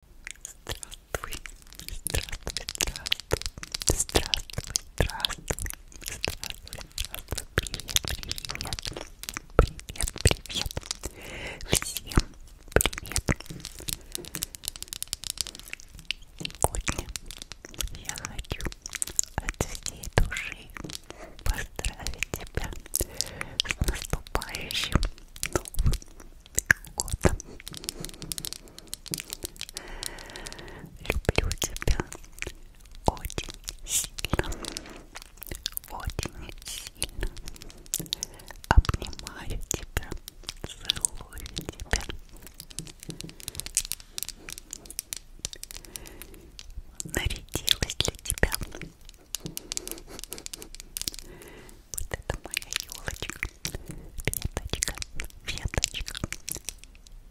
Здравствуй, здравствуй, здравствуй, здравствуй, здравствуй, здравствуй, здравствуй, привет, привет, привет, привет, всем привет. Сегодня я хочу от всей души поздравить тебя с наступающим новым года. Люблю тебя очень сильно, очень сильно. Обнимаю тебя, целую тебя. Нарядилась для тебя вот это моя елочка, веточка, веточка,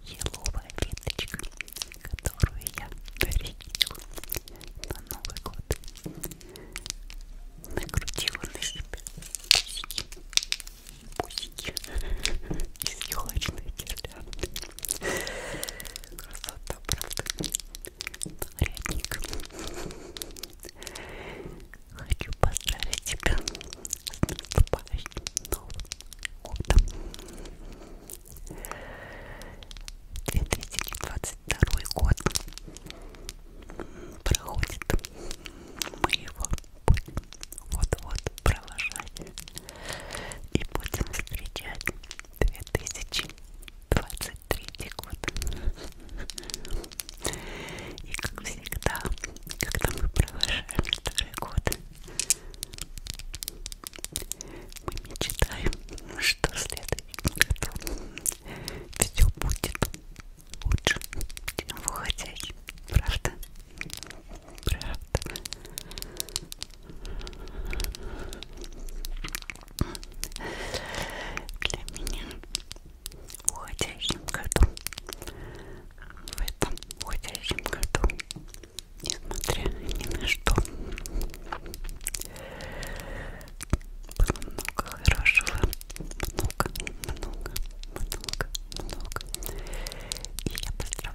еловая веточка, которую я дарила на Новый год. Накрутила на себя пусики, пусики из елочной гирлянды. Красота, правда? Нарядник. Хочу поздравить тебя с наступающим Новым годом. 2022 год проходит. Мы его будем вот-вот провожать и будем встречать 2023 третий год. И как всегда, когда мы провожаем второй год, мы мечтаем, что в следующем году все будет лучше, чем в уходящем. Правда? Правда для меня в уходящем году, в этом уходящем году, несмотря ни на что, было много хорошего, много, много, много, много. И я быстро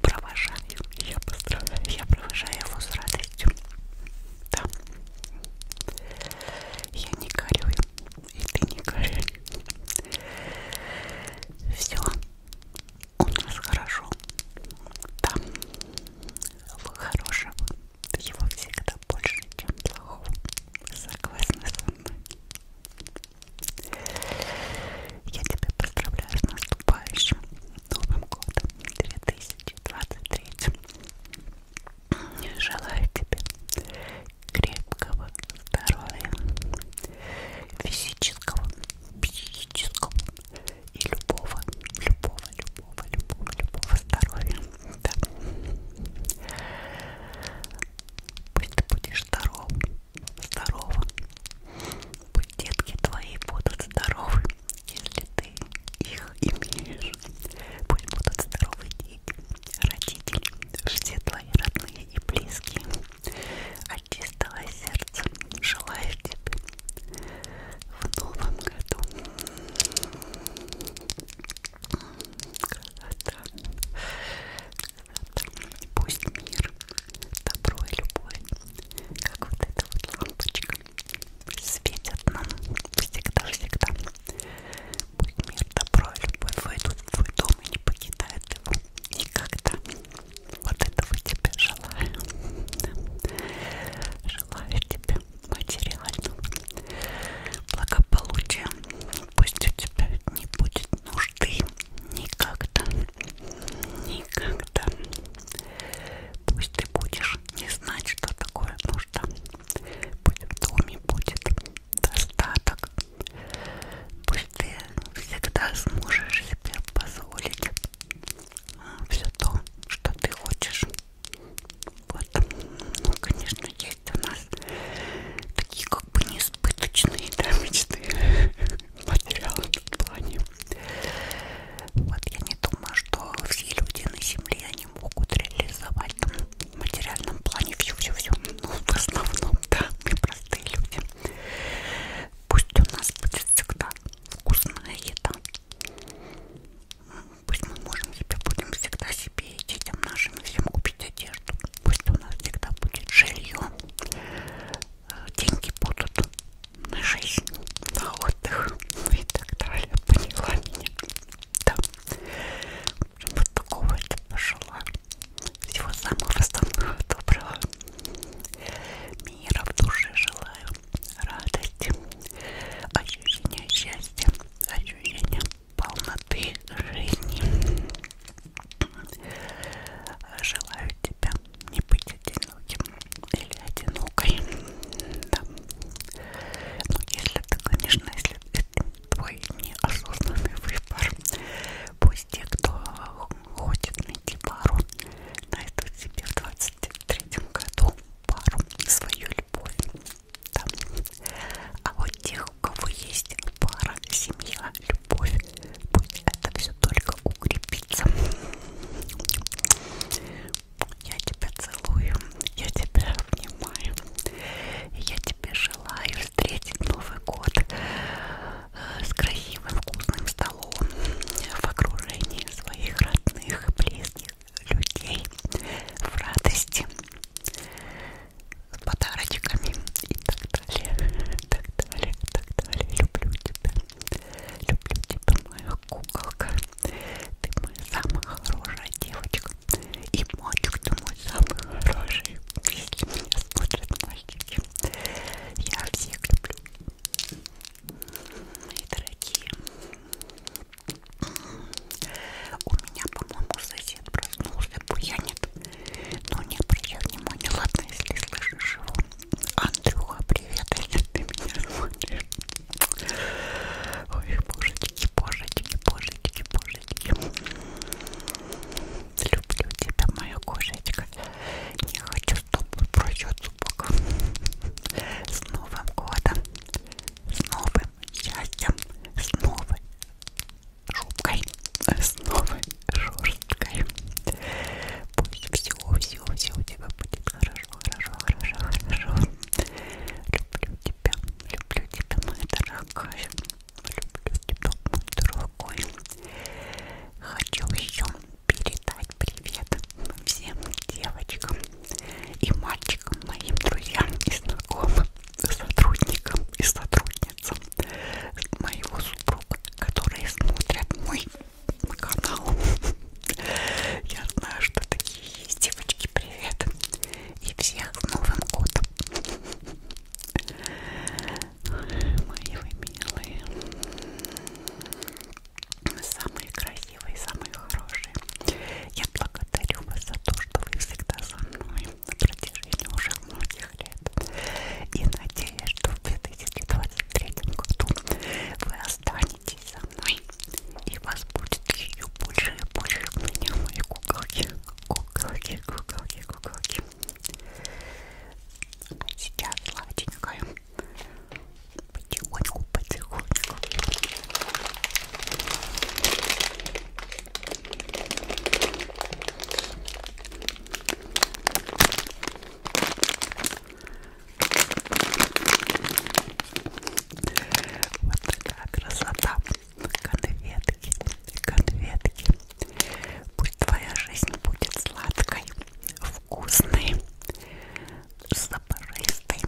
провожаю, я быстро, я провожаю его с радостью. Да. Я не горюю. И ты не горюй. Все. У нас хорошо. Да. Хорошего. Его всегда больше, чем плохого. Согласна со мной. Я тебя поздравляю с наступающим Новым годом 2023. Желаю тебе крепкого здоровья, физического, психического и любого, любого, любого, любого, любого здоровья. Да. Пусть ты будешь здоров, здорова. Пусть детки твои будут здоровы. Если ты их имеешь, пусть будут здоровы дети, родители, все твои родные и близкие. От чистого сердца желаю тебе в новом году. Красота. Красота. Пусть мир, добро и любовь, как вот эта вот лампочка светят нам всегда-всегда. Пусть мир, добро и любовь войдут в твой дом и не покидают его никогда. Вот этого тебе желаю. Желаю тебе материального благополучия. Пусть у тебя не будет нужды никогда. Никогда нужда. Пусть ты будешь не знать, что такое нужда. Пусть в доме будет достаток. Пусть ты всегда сможешь себе позволить а, все то, что ты хочешь. Вот, ну, конечно, есть у нас такие как бы неизбыточные да, мечты материалы в плане. Вот я не думаю, что все люди на Земле они могут реализовать там, в материальном плане все-все-все. Ну, в основном, да, мы простые люди. Пусть у нас будет всегда вкусная еда. Пусть мы можем себе будем всегда себе и детям нашим всем купить одежду. Пусть у нас всегда будет жилье деньги будут на жизнь, на отдых ну и так далее. Поняла меня? Да. Вот такого я пожелала. Всего самого самого доброго. Мира в душе желаю. Радости, ощущения счастья, ощущения полноты жизни. Желаю тебя не быть одиноким или одинокой. Да. Ну, если ты, конечно, если это твой неосознанный выбор, пусть те, кто хочет найти пару, найдут себе в 23-м году пару свою любовь. Да. А вот тех, у кого есть пара, семья, любовь, любовь. Пусть это все только укрепится. Я тебя целую, я тебя обнимаю. Я тебе желаю встретить Новый год э, с красивым вкусным столом в окружении своих родных, близких людей, в радости, с подарочками и так далее. Так, далее, так, далее. Люблю тебя. Люблю тебя, моя куколка. Ты моя самая хорошая девочка. И мальчик, ты мой самый хороший. Если меня смотрят мальчики. Я всех люблю. Мои дорогие. У меня, по-моему, сосед проснулся, буянит. Ну не обращай внимания, ладно, если слышишь его. Андрюха, привет, а если ты меня смотришь. Ой, божечки, божечки, божечки, божечки. Люблю тебя, моя кошечка. Не хочу, чтобы пройдет зубок. С Новым годом, с новым счастьем, с новой шубкой, с новой шорсткой. Пусть все-все-все у тебя будет хорошо, хорошо, хорошо, хорошо. Люблю тебя, люблю тебя, моя дорогая. Люблю тебя, мой дорогой. Хочу еще передать привет всем девочкам и мальчикам, моим друзьям и знакомым, сотрудникам и сотрудницам моего супруга, которые смотрят мой канал. Я знаю, что такие есть. Девочки, привет! И всех с Новым годом! Мои вы милые, самые красивые, самые хорошие. Я благодарю вас за то, что вы всегда со мной на протяжении уже многих лет. И надеюсь, что в 2023 году вы останетесь со мной, и вас будет еще больше и больше у меня мои куколки, куколки, куколки, куколки. А сейчас сладенькая, потихоньку, потихоньку. Вот такая красота. Конфетки, конфетки. Пусть твоя жизнь будет сладкой, вкусной, запорыстой,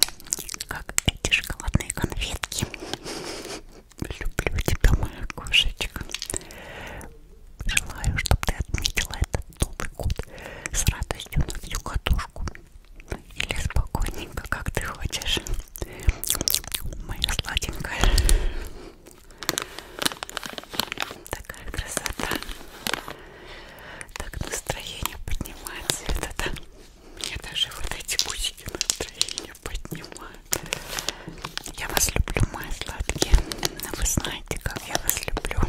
как эти шоколадные конфетки. Люблю тебя, моя кошечка. Желаю, чтобы ты отметила этот Новый год с радостью на всю катушку. Или спокойненько, как ты хочешь. Моя сладенькая. Такая красота. Так настроение поднимается. Это да. Мне даже вот эти бусики настроение поднимают. Я вас люблю, мои сладкие. Вы знаете, как я вас люблю.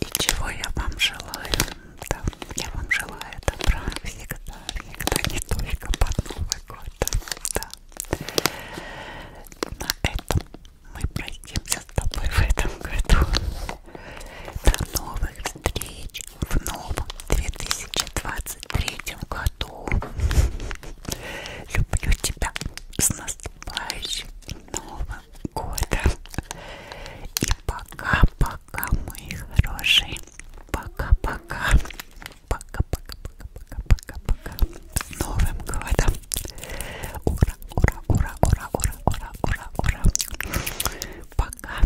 И чего я вам желаю. Да, я вам желаю добра всегда, всегда, не только под Новый год. Да. На этом мы пройдемся с тобой в этом году. До новых встреч, в новом 2023 году. Люблю тебя с наступающим Новым годом. И пока-пока, мои хорошие. Пока-пока. Пока-пока-пока-пока-пока-пока. С Новым годом. Ура, ура, ура, ура, ура, ура, ура, ура. Пока.